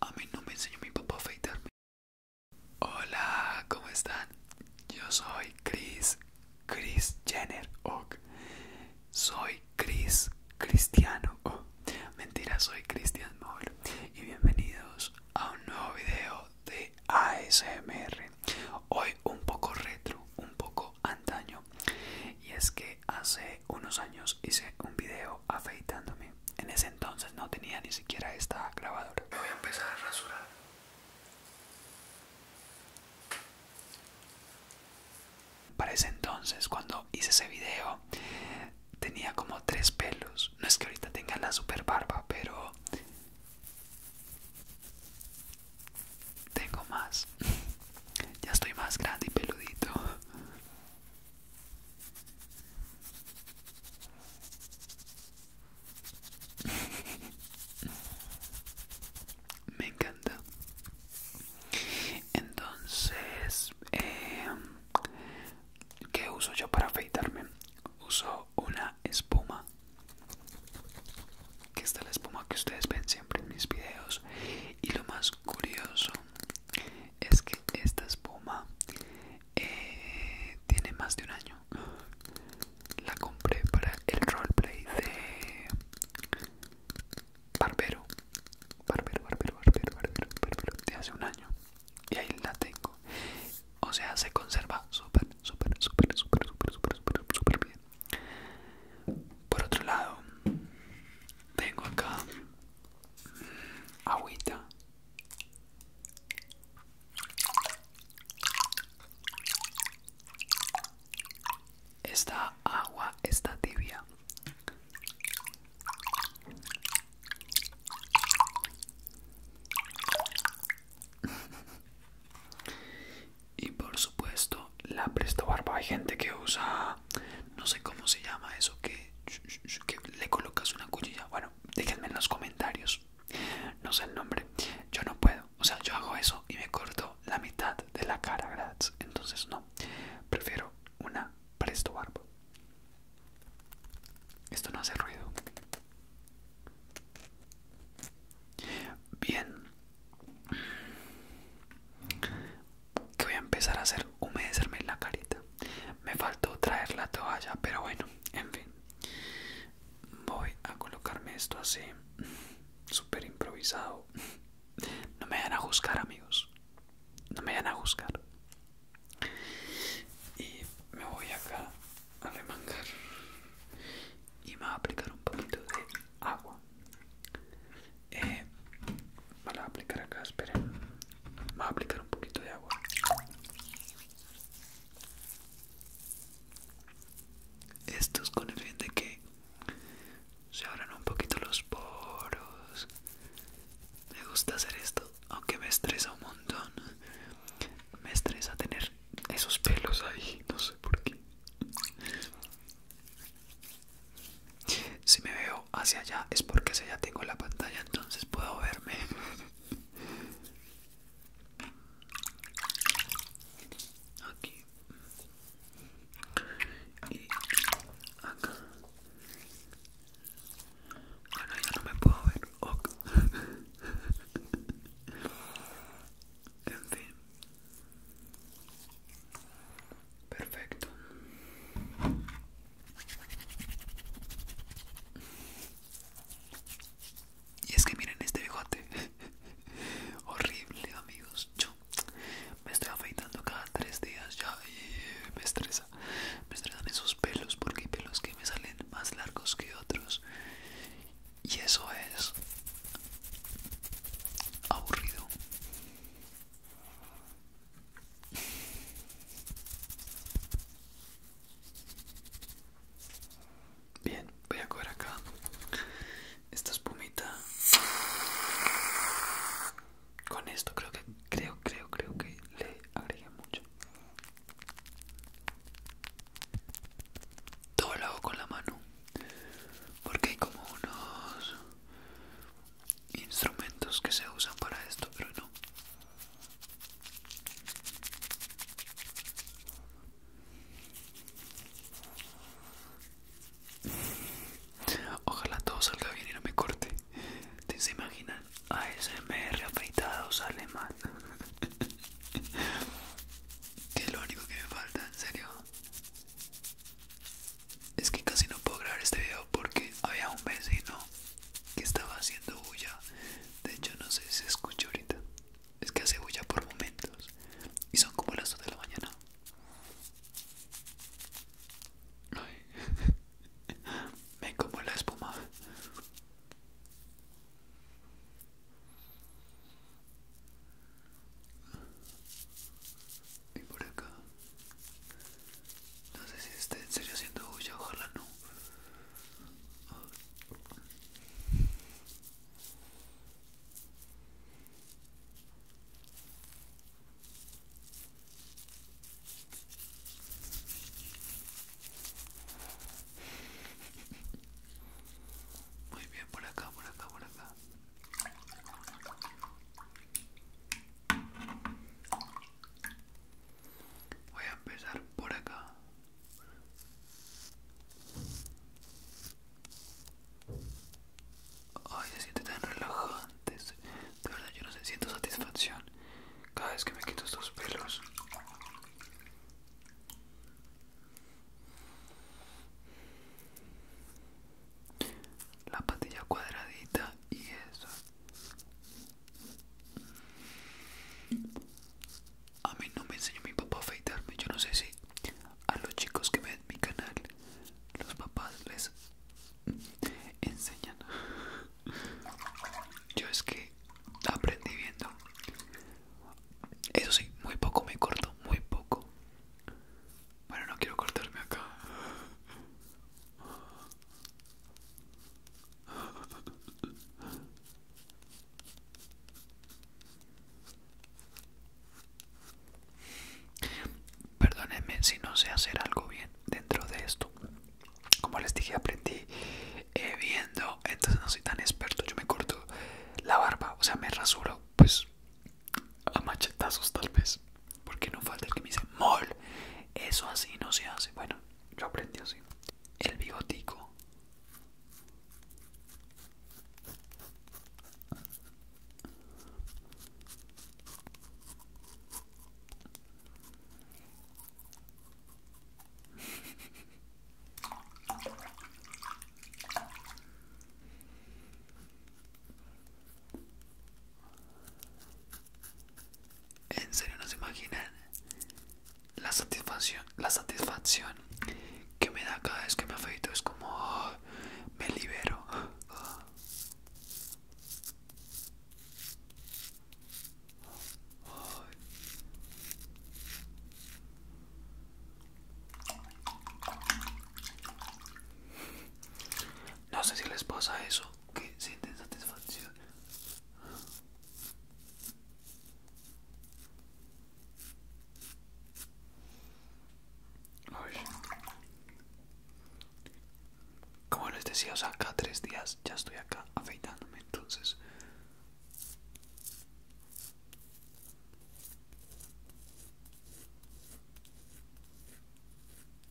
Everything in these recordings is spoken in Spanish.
A mí no me enseñó mi papá a afeitarme. Hola, ¿cómo están? Yo soy Chris, Chris Jenner, ok soy Cris Cristiano. Oh, mentira, soy Cristian Moll. Y bienvenidos a un nuevo video de ASMR. Hoy un poco retro, un poco antaño. Y es que hace unos años hice un video afeitándome. En ese entonces no tenía ni siquiera esta grabadora. voy a empezar a rasurar. Para ese entonces, cuando hice ese video, tenía como tres pelos. No es que ahorita tenga la super barba, pero tengo más. Ya estoy más grande y peludito. me encanta entonces em, qué uso yo para afeitarme uso una espuma que está la espuma que ustedes ven siempre en mis videos y lo más curioso es que esta espuma eh, tiene más de un año la compré para el roleplay de Barbero, Barbero, Barbero, Barbero, Barbero, Barbero, de hace un año. Y ahí la tengo. O sea, se conserva súper, súper, súper, súper, súper, súper, súper, súper bien. Por otro lado, tengo acá mm, agüita. Esta agua está tibia. y por supuesto, la Presto Barba. Hay gente que usa, no sé cómo se llama eso, que, que le colocas una cuchilla. Bueno, déjenme en los comentarios. No sé el nombre. Yo no puedo. O sea, yo hago eso y me corto la mitad de la cara, ¿verdad? Entonces no, prefiero una presto barba. Esto no hace ruido. Bien. voy a empezar a hacer humedecerme la carita. Me faltó traer la toalla, pero bueno, en fin. Voy a colocarme esto así super improvisado. No me van a juzgar, amigos. No me van a juzgar. Y me voy acá a remangar. Y me voy a aplicar un poquito de agua. Eh, me a aplicar acá, esperen. Me voy a aplicar un poquito de agua. Esto es con el fin de que se abren un poquito los poros. Me gusta hacer esto, aunque me estresa un montón. Me estresa tener esos pelos ahí, no sé por qué. Si me veo hacia allá es porque si allá tengo la pantalla, entonces puedo verme aquí y acá bueno ya no me puedo ver ok en fin perfecto y es que miren este bigote. Horrible, amigos. Yo me estoy afeitando cada tres días ya y me estresa. Me estresan esos pelos porque hay pelos que me salen más largos que otros. Y eso es aburrido. Bien, voy a coger acá esta espumita. Con esto creo que, creo, creo, creo que le agregué mucho. Todo lo hago con la mano. Porque hay como unos instrumentos que se usan para esto, pero no. Ojalá todo salga bien y no me corte. ¿Te se imaginan? ASMR afeitado sale mal. que es lo único que me falta, en serio. Es que casi no puedo grabar este video porque había un vecino que estaba haciendo bulla. De hecho, no sé si se escucha ahorita. Es que hace bulla por momentos y son como las 2 de la mañana. Ay. Me como la espuma. Y por acá. No sé si esté en serio haciendo bulla, ojalá no. Muy bien, por acá, por acá, por acá. Voy a empezar por acá. Ay, se siente tan relajante. De verdad, yo no sé, siento satisfacción cada vez que me quito estos pelos. La patilla cuadradita y eso. A mí no me enseñó mi papá a afeitarme. Yo no sé si a los chicos que ven mi canal, los papás les enseñan. Yo es que aprendí viendo. Eso sí, muy poco me corto, muy poco. Bueno, no quiero cortarme acá. Perdónenme si no sé hacer algo bien dentro de esto. Como les dije, aprendí eh, viendo, entonces no soy tan experto. Yo me corto la barba, o sea, me rasuro, pues a machetazos tal vez. Porque no falta el que me dice, mol, eso así no se hace. Bueno, lo aprendió así. El bigotico. En serio, no se imaginan la satisfacción, la satisfacción que me da cada vez que me afeito. Es como ah, me libero. No sé si les pasa eso, que sienten satisfacción. Como les decía, o sea, tres días ya estoy acá afeitándome, entonces...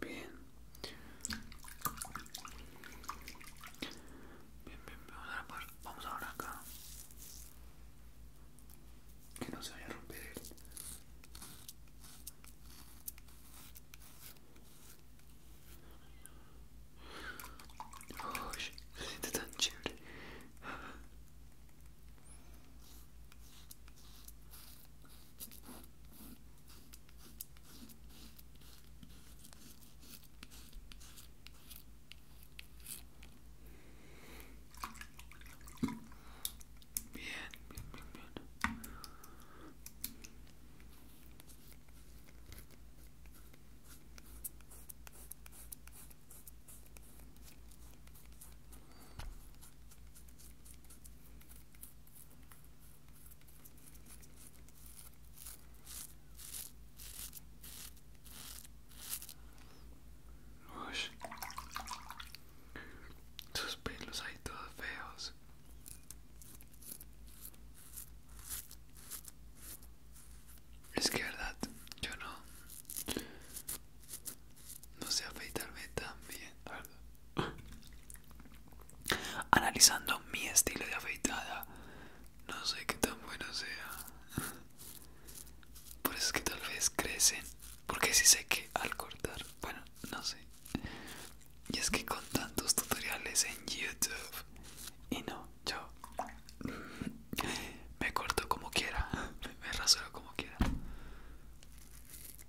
Bien. Bien, bien, vamos a ver vamos ahora acá. Que no se vaya a romper él. Uy, se siente tan chévere. Bien, bien, bien, sus pelos ahí todos feos. Es que verdad, yo no. No sé afeitarme tan bien. Analizando mi estilo de afeitada, no sé qué tan bueno sea. Por eso es que tal vez crecen, porque sí sé que al cortar, bueno, no sé. Y es que con tantos tutoriales en YouTube, y no, yo me corto como quiera, me rasuro como quiera.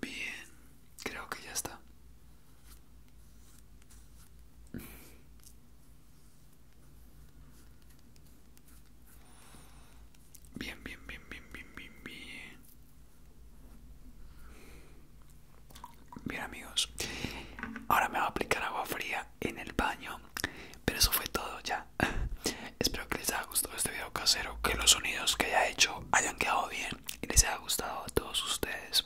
Bien, creo que ya está. Bien, bien, bien, bien, bien, bien, bien. Bien amigos, ahora me va a aplicar agua fría en el baño pero eso fue todo ya. Espero que les haya gustado este video casero, que los sonidos que haya hecho hayan quedado bien y les haya gustado a todos ustedes.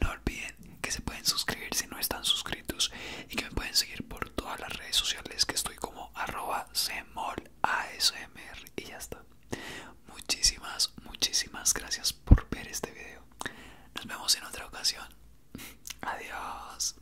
No olviden que se pueden suscribir si no están suscritos y que me pueden seguir por todas las redes sociales que estoy como arroba y ya está. Muchísimas, muchísimas gracias por ver este video. Nos vemos en otra ocasión. Adiós.